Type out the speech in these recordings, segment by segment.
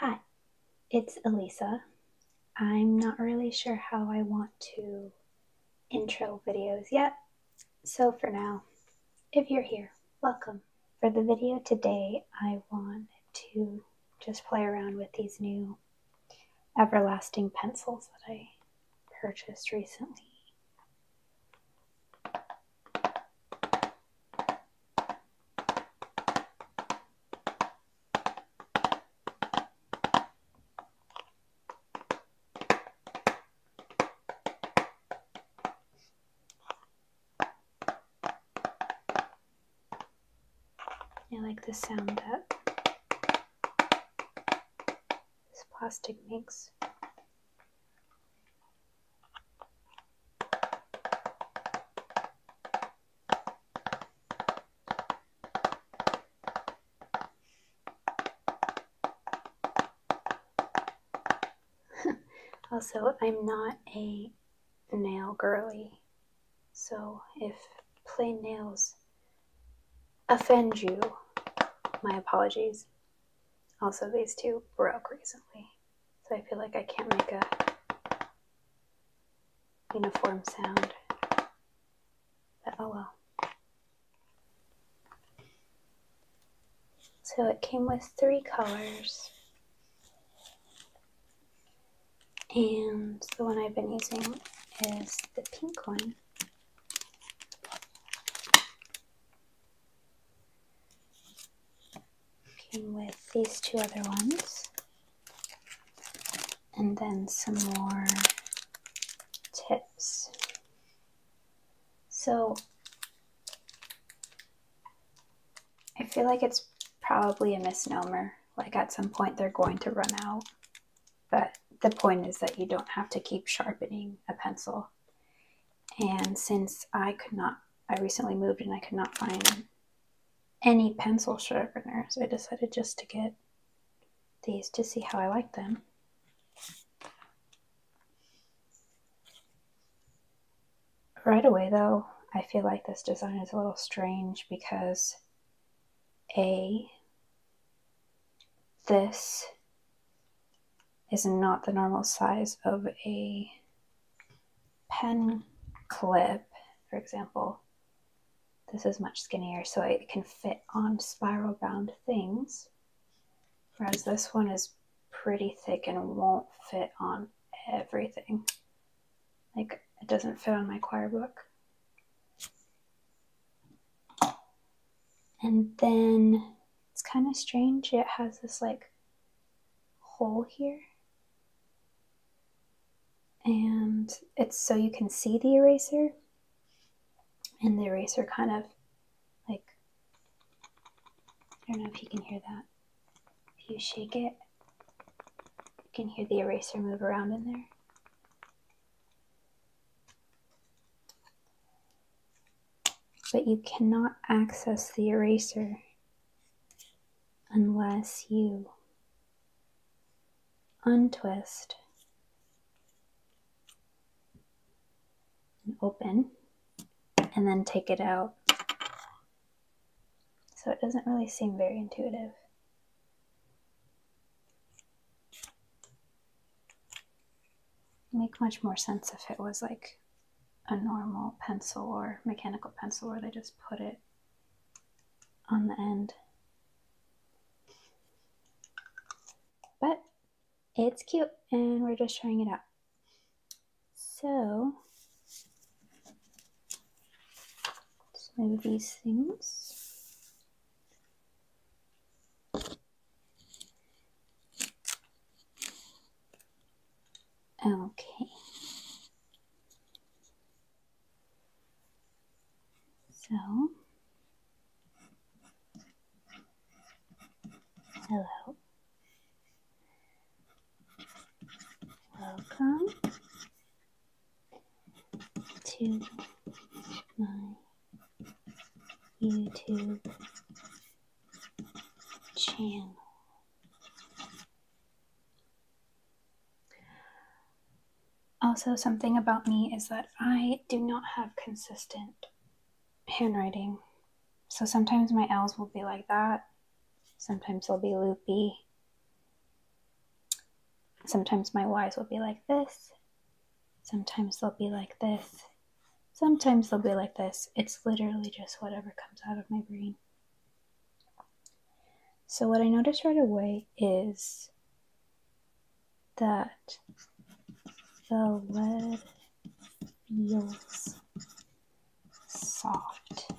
Hi, it's Elisa. I'm not really sure how I want to intro videos yet, so for now, if you're here, welcome. For the video today, I want to just play around with these new everlasting pencils that I purchased recently. I like the sound that this plastic makes. also, I'm not a nail girly, so if plain nails offend you, my apologies. Also, these two broke recently. So I feel like I can't make a uniform sound. But oh So it came with three colors. And the one I've been using is the pink one with these two other ones. And then some more tips. So I feel like it's probably a misnomer. Like at some point they're going to run out. But the point is that you don't have to keep sharpening a pencil. And since I could not, I recently moved and I could not find any pencil sharpeners, I decided just to get these to see how I like them. Right away, though, I feel like this design is a little strange because A, this is not the normal size of a pen clip, for example. This is much skinnier, so it can fit on spiral bound things, whereas this one is pretty thick and won't fit on everything. Like, it doesn't fit on my choir book. And then it's kind of strange. It has this like hole here. And it's so you can see the eraser. And the eraser kind of like, I don't know if you can hear that. If you shake it, you can hear the eraser move around in there but you cannot access the eraser unless you untwist and open and then take it out. So it doesn't really seem very intuitive make much more sense if it was like a normal pencil or mechanical pencil where they just put it on the end. But it's cute and we're just trying it out. So, let's move these things. Okay. So, hello. Welcome to my YouTube channel. Also, something about me is that I do not have consistent handwriting. So sometimes my L's will be like that, sometimes they'll be loopy, sometimes my Y's will be like this, Sometimes they'll be like this. Sometimes they'll be like this. It's literally just whatever comes out of my brain. So, what I notice right away is that the lead feels soft.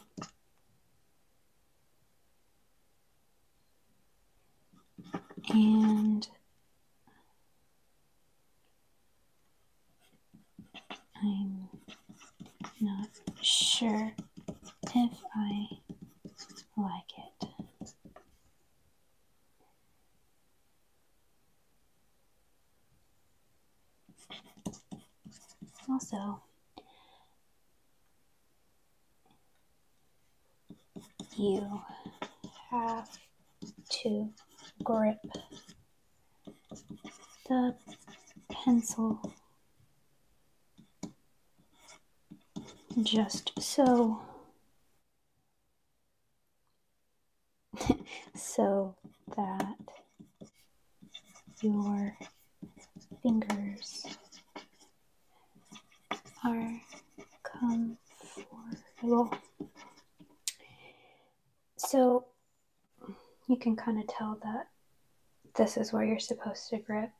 And I'm not sure if I like it. Also, you have to grip the pencil just so so that your fingers are comfortable so you can kind of tell that this is where you're supposed to grip.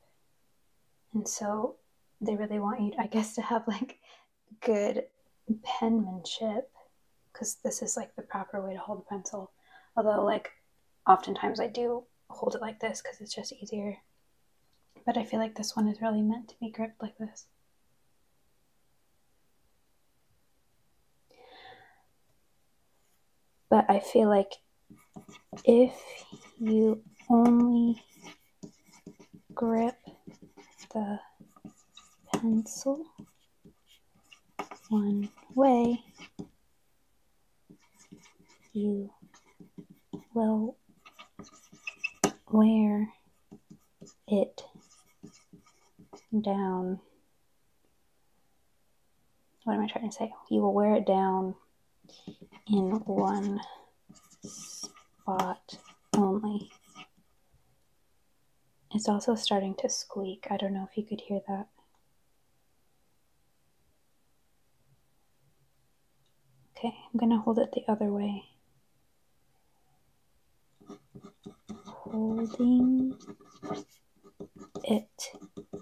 And so they really want you, I guess, to have like good penmanship because this is like the proper way to hold a pencil. Although, like, oftentimes I do hold it like this because it's just easier. But I feel like this one is really meant to be gripped like this. But I feel like if you only grip the pencil one way, you will wear it down. What am I trying to say? You will wear it down in one spot only. It's also starting to squeak. I don't know if you could hear that. Okay, I'm going to hold it the other way holding it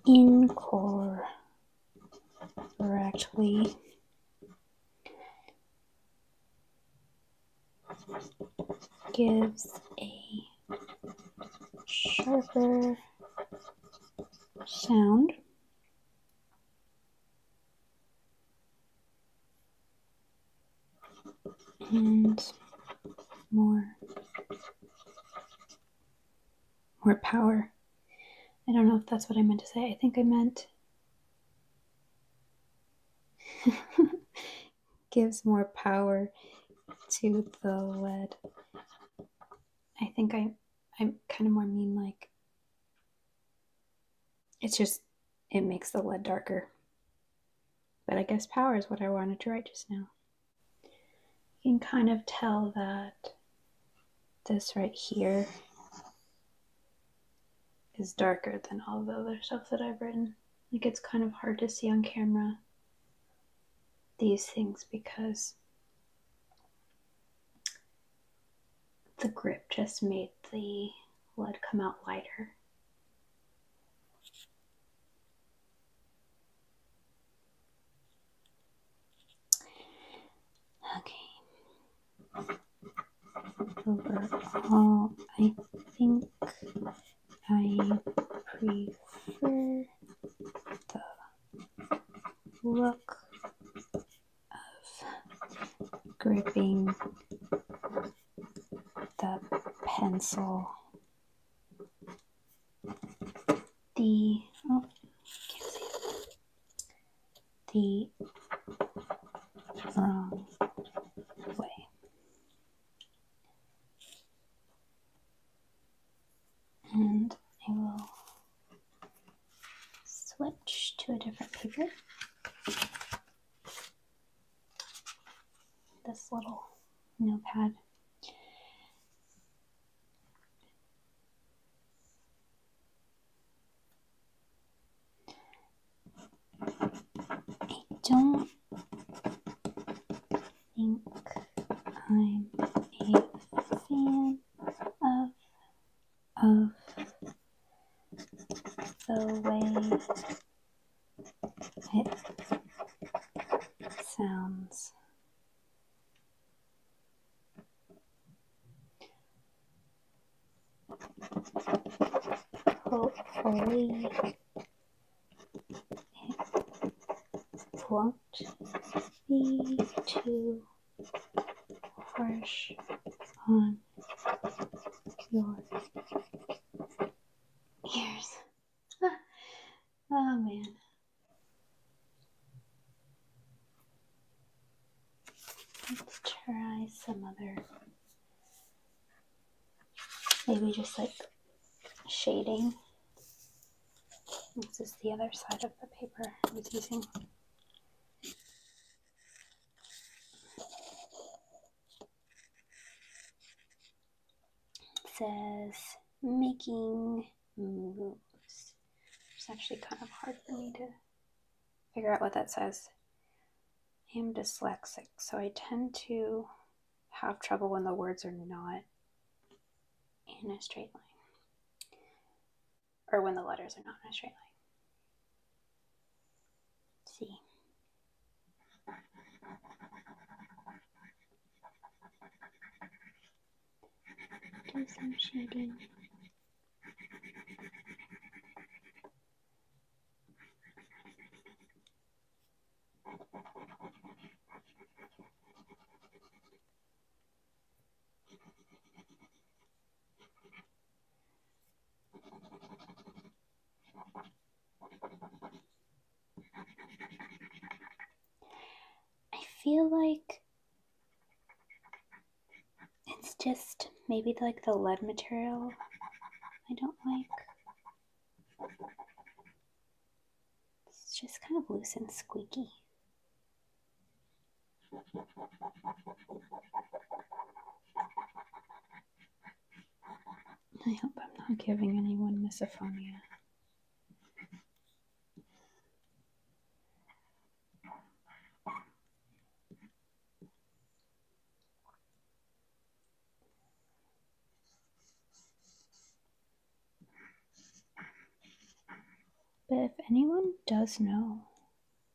in correctly. gives a sharper sound and more more power i don't know if that's what i meant to say i think i meant gives more power to the lead i think i i'm kind of more mean like it's just, it makes the lead darker. But I guess power is what I wanted to write just now. You can kind of tell that this right here is darker than all the other stuff that I've written. Like it's kind of hard to see on camera these things because the grip just made the lead come out lighter. Okay. Overall, I think I prefer the look of gripping the pencil. The oh, can't see the wrong um, way. And I will switch to a different paper. This little notepad. I don't think I'm a fan of of the way it sounds. Hopefully, it won't be too fresh on your ears. Ah. oh man. Let's try some other, maybe just like shading. This is the other side of the paper I was using. It says making moves. It's actually kind of hard for me to figure out what that says. I am dyslexic, so I tend to have trouble when the words are not in a straight line or when the letters are not in a straight line. See. Do some shading. I feel like it's just maybe like the lead material I don't like. It's just kind of loose and squeaky. I hope I'm not giving anyone misophonia. But if anyone does know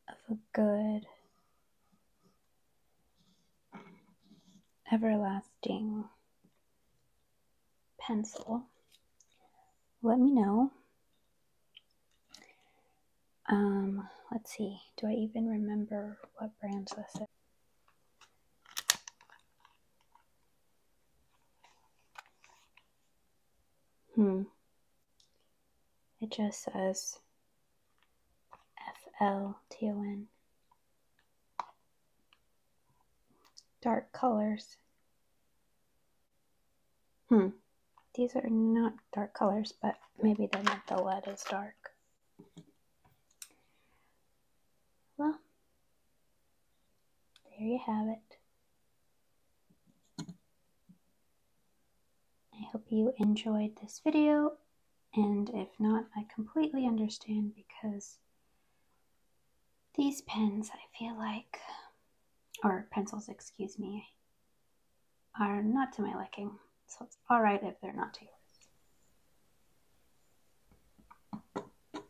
of a good, everlasting pencil, let me know. Um, let's see, do I even remember what brands this is? Hmm. It just says FLTON. Dark colors. Hmm. These are not dark colors, but maybe they the lead is dark. Well, there you have it. I hope you enjoyed this video, and if not, I completely understand because these pens, I feel like, or pencils, excuse me, are not to my liking, so it's alright if they're not to yours.